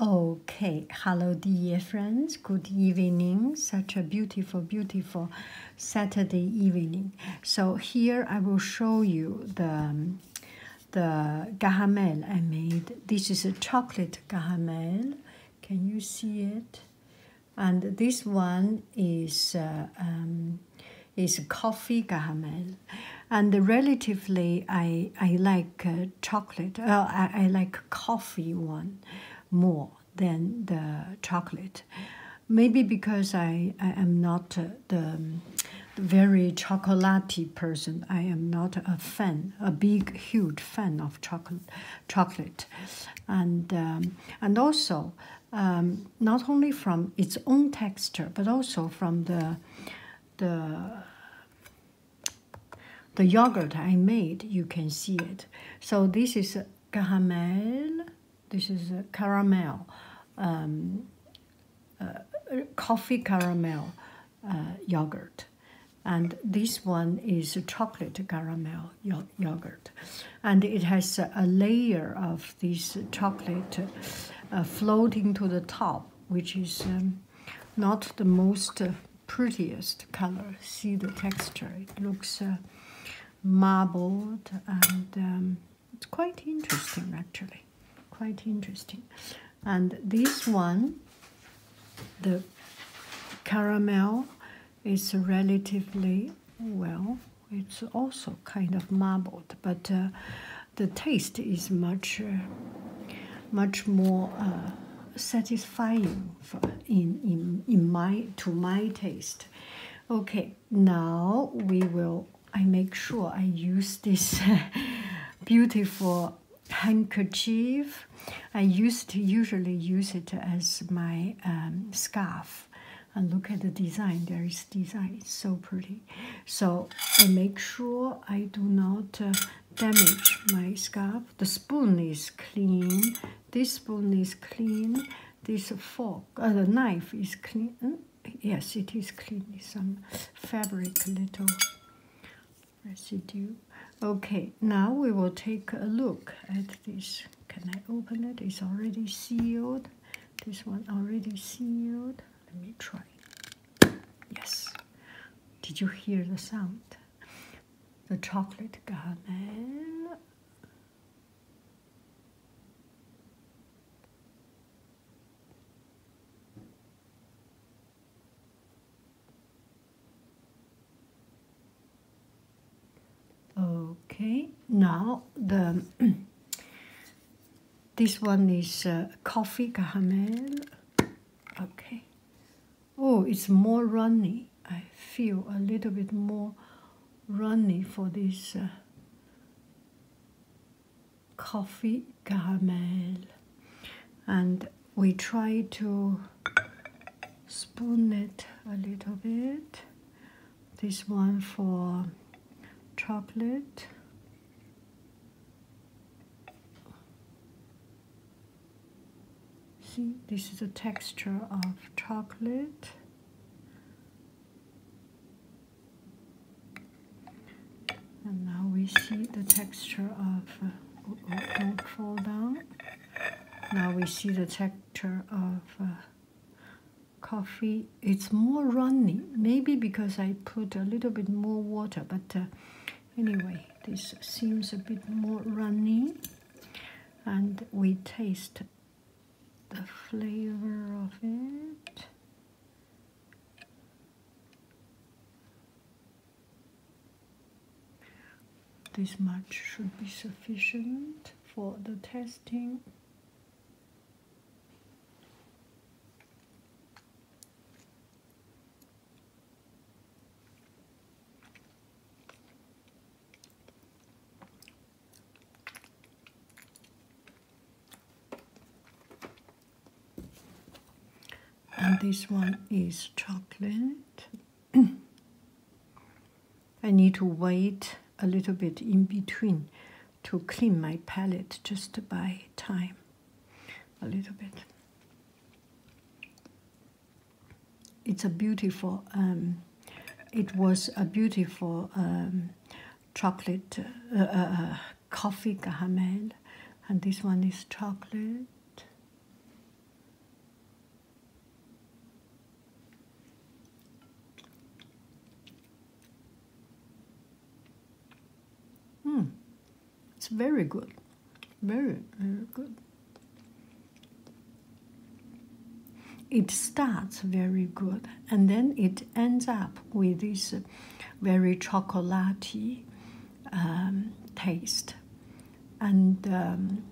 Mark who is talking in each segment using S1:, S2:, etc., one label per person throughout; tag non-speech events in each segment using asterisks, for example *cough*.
S1: Okay, hello dear friends, good evening, such a beautiful, beautiful Saturday evening. So here I will show you the, the gahamel I made. This is a chocolate gahamel, can you see it? And this one is, uh, um, is coffee gahamel and relatively, I I like uh, chocolate. Uh, I, I like coffee one more than the chocolate. Maybe because I I am not uh, the, um, very chocolaty person. I am not a fan, a big huge fan of chocolate, and um, and also. Um, not only from its own texture, but also from the the the yogurt I made, you can see it. So this is caramel. This is caramel, um, uh, coffee caramel uh, yogurt, and this one is chocolate caramel yogurt, and it has a layer of this chocolate uh, floating to the top which is um, not the most uh, prettiest color. See the texture; it looks uh, marbled, and um, it's quite interesting, actually. Quite interesting. And this one, the caramel, is relatively well. It's also kind of marbled, but uh, the taste is much, uh, much more uh, satisfying in in in my to my taste. Okay, now we will. I make sure I use this *laughs* beautiful handkerchief. I used to usually use it as my um, scarf. And look at the design. There is design so pretty. So I make sure I do not uh, damage my scarf. The spoon is clean. This spoon is clean. This fork, uh, the knife is clean. yes, it is clean. Some fabric little residue. Okay, now we will take a look at this. Can I open it? It's already sealed. This one already sealed. Let me try. Yes. Did you hear the sound? The chocolate caramel. Okay, now the *clears throat* This one is uh, coffee caramel. Okay. Oh, it's more runny. I feel a little bit more runny for this uh, coffee caramel. And we try to spoon it a little bit this one for chocolate. See, this is the texture of chocolate. And now we see the texture of, uh, oh, oh, don't fall down. Now we see the texture of uh, coffee it's more runny maybe because i put a little bit more water but uh, anyway this seems a bit more runny and we taste the flavor of it this much should be sufficient for the testing and this one is chocolate. *clears throat* I need to wait a little bit in between to clean my palette just by time a little bit. It's a beautiful, um, it was a beautiful um, chocolate uh, uh, uh, coffee caramel, and this one is chocolate. Mm. It's very good. Very, very good. It starts very good and then it ends up with this very chocolaty um, taste and um,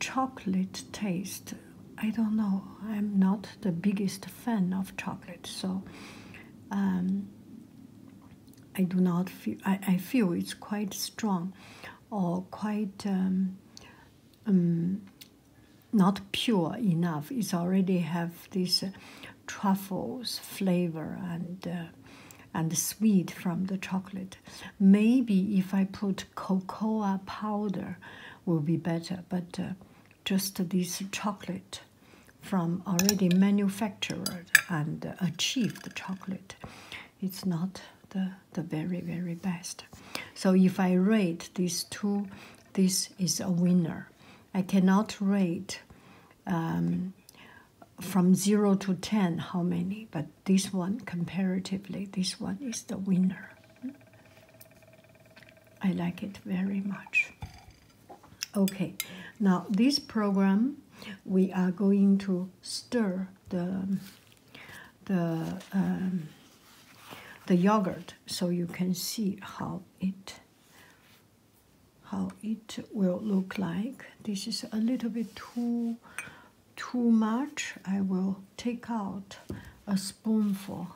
S1: chocolate taste. I don't know. I'm not the biggest fan of chocolate, so um, I do not feel. I, I feel it's quite strong, or quite um, not pure enough. It's already have this uh, truffles flavor and uh, and sweet from the chocolate. Maybe if I put cocoa powder will be better, but uh, just this chocolate from already manufactured and achieved chocolate, it's not the, the very, very best. So if I rate these two, this is a winner. I cannot rate um, from 0 to 10 how many, but this one, comparatively, this one is the winner. I like it very much. Okay, now this program, we are going to stir the the um, the yogurt so you can see how it how it will look like. This is a little bit too too much, I will take out a spoonful.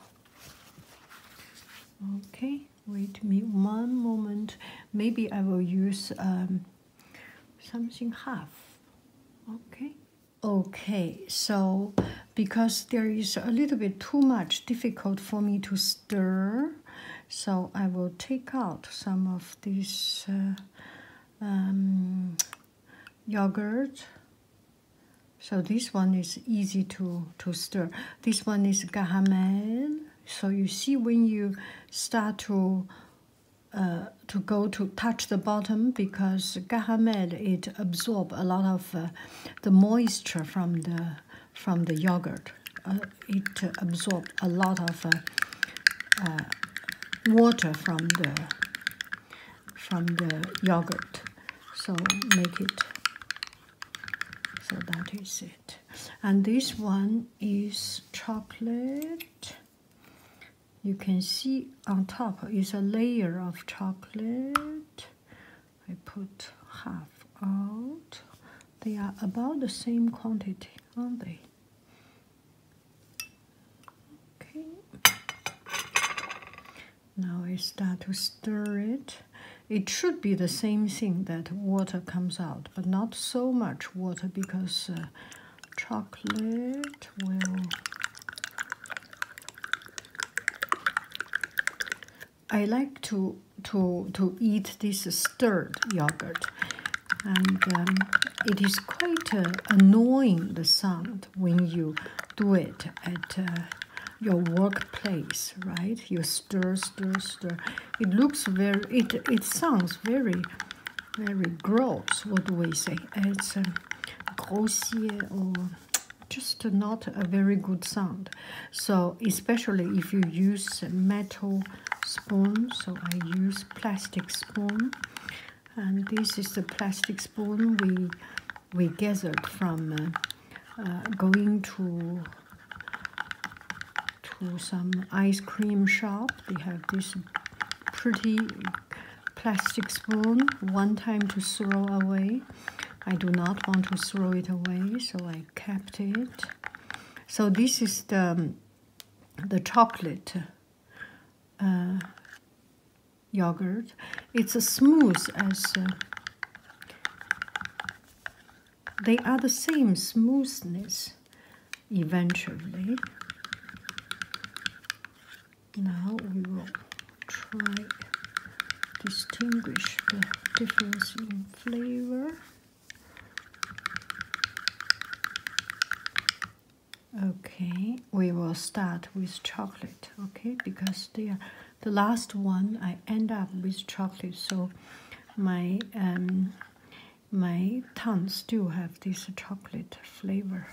S1: Okay, wait me one moment. Maybe I will use um, something half. Okay. Okay, so because there is a little bit too much difficult for me to stir, so I will take out some of this uh, um, yogurt. So this one is easy to, to stir. This one is gahamel. So you see when you start to uh, to go to touch the bottom because gahamel it absorb a lot of uh, the moisture from the from the yogurt. Uh, it absorbed a lot of uh, uh, water from the from the yogurt so make it so that is it and this one is chocolate you can see on top is a layer of chocolate i put half out they are about the same quantity aren't they Okay. Now I start to stir it. It should be the same thing that water comes out, but not so much water because uh, chocolate will. I like to to to eat this stirred yogurt and um, it is quite uh, annoying the sound when you do it at uh, your workplace right you stir stir stir it looks very it it sounds very very gross what do we say it's um, grossier or just not a very good sound so especially if you use metal spoon so I use plastic spoon and this is the plastic spoon we we gathered from uh, uh, going to to some ice cream shop they have this pretty plastic spoon one time to throw away I do not want to throw it away so I I kept it. So this is the um, the chocolate uh, yogurt. It's as smooth as uh, they are the same smoothness eventually. Now we will try distinguish the difference in flavor. Okay, we will start with chocolate, okay? Because they the last one I end up with chocolate, so my um, my tongue still have this chocolate flavor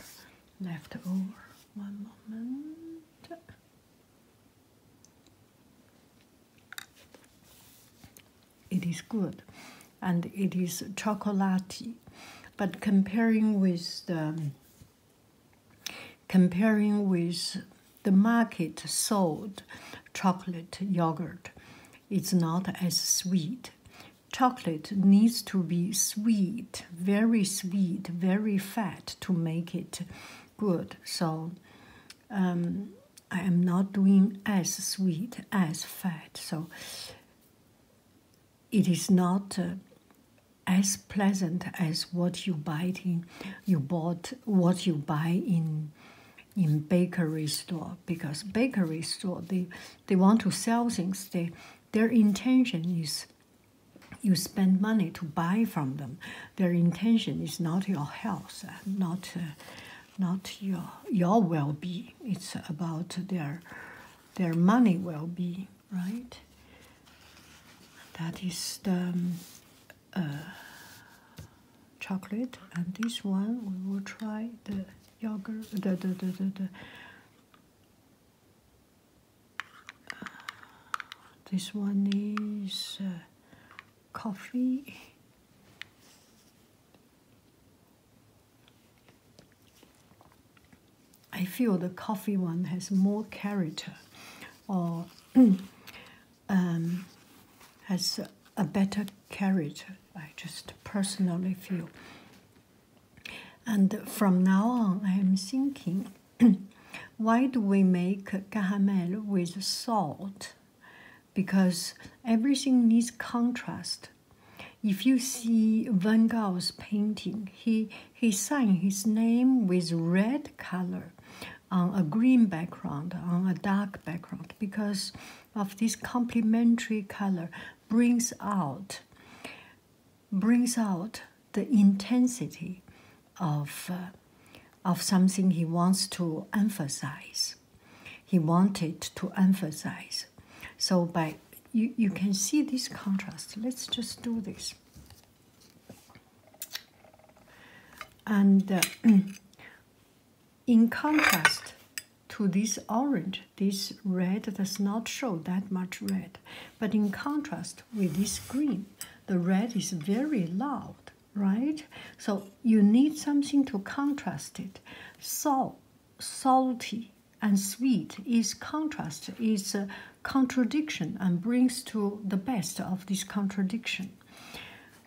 S1: left over. One moment. It is good and it is chocolaty, But comparing with the comparing with the market sold chocolate yogurt, it's not as sweet. Chocolate needs to be sweet, very sweet, very fat to make it good. So um, I am not doing as sweet as fat, so it is not uh, as pleasant as what you buy in you bought what you buy in in bakery store because bakery store they they want to sell things they their intention is you spend money to buy from them their intention is not your health, not not your your well-being. It's about their their money well-being, right? That is the um, uh, chocolate, and this one we will try the yogurt. Uh, this one is uh, coffee. I feel the coffee one has more character or *clears throat* um, has a better character. I just personally feel. And from now on, I am thinking *clears throat* Why do we make caramel with salt? Because everything needs contrast. If you see Van Gogh's painting, he he signed his name with red color on a green background, on a dark background, because of this complementary color brings out brings out the intensity of, uh, of something he wants to emphasize. He wanted to emphasize. So by you, you can see this contrast. Let's just do this. And uh, *clears throat* in contrast to this orange, this red does not show that much red. But in contrast with this green. The red is very loud, right? So you need something to contrast it. Salt, salty, and sweet is contrast, is contradiction, and brings to the best of this contradiction.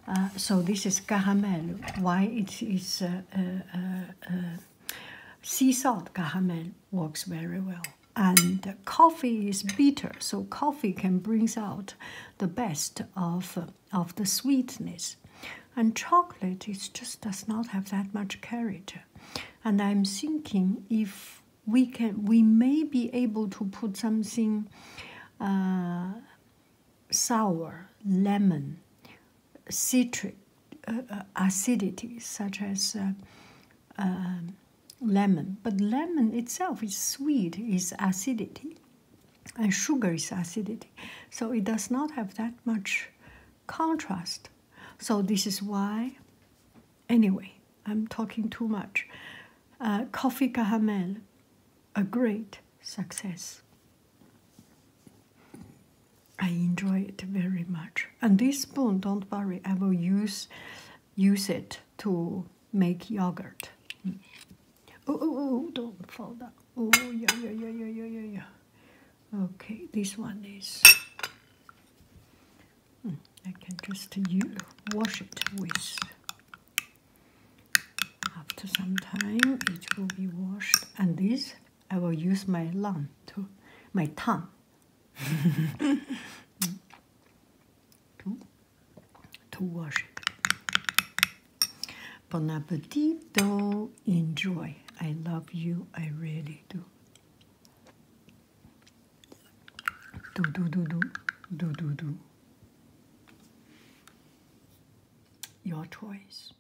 S1: Uh, so this is caramel. Why it is uh, uh, sea salt caramel? works very well. And coffee is bitter, so coffee can brings out the best of, of the sweetness. And chocolate it just does not have that much character. And I'm thinking if we can, we may be able to put something uh, sour, lemon, citric uh, uh, acidity, such as um, lemon, but lemon itself is sweet, is acidity, and sugar is acidity, so it does not have that much contrast. So this is why. Anyway, I'm talking too much. Uh, coffee caramel, a great success. I enjoy it very much. And this spoon, don't worry, I will use use it to make yogurt. Mm. Oh, oh, oh, don't fall down. Oh, yeah, yeah, yeah, yeah, yeah, yeah, yeah. Okay, this one is. Hmm, I can just use, wash it with. After some time, it will be washed, and this I will use my lung to my tongue. to, *laughs* to wash it. Bon appetito. Enjoy. I love you. I really do. Do do do do do do do. Your choice.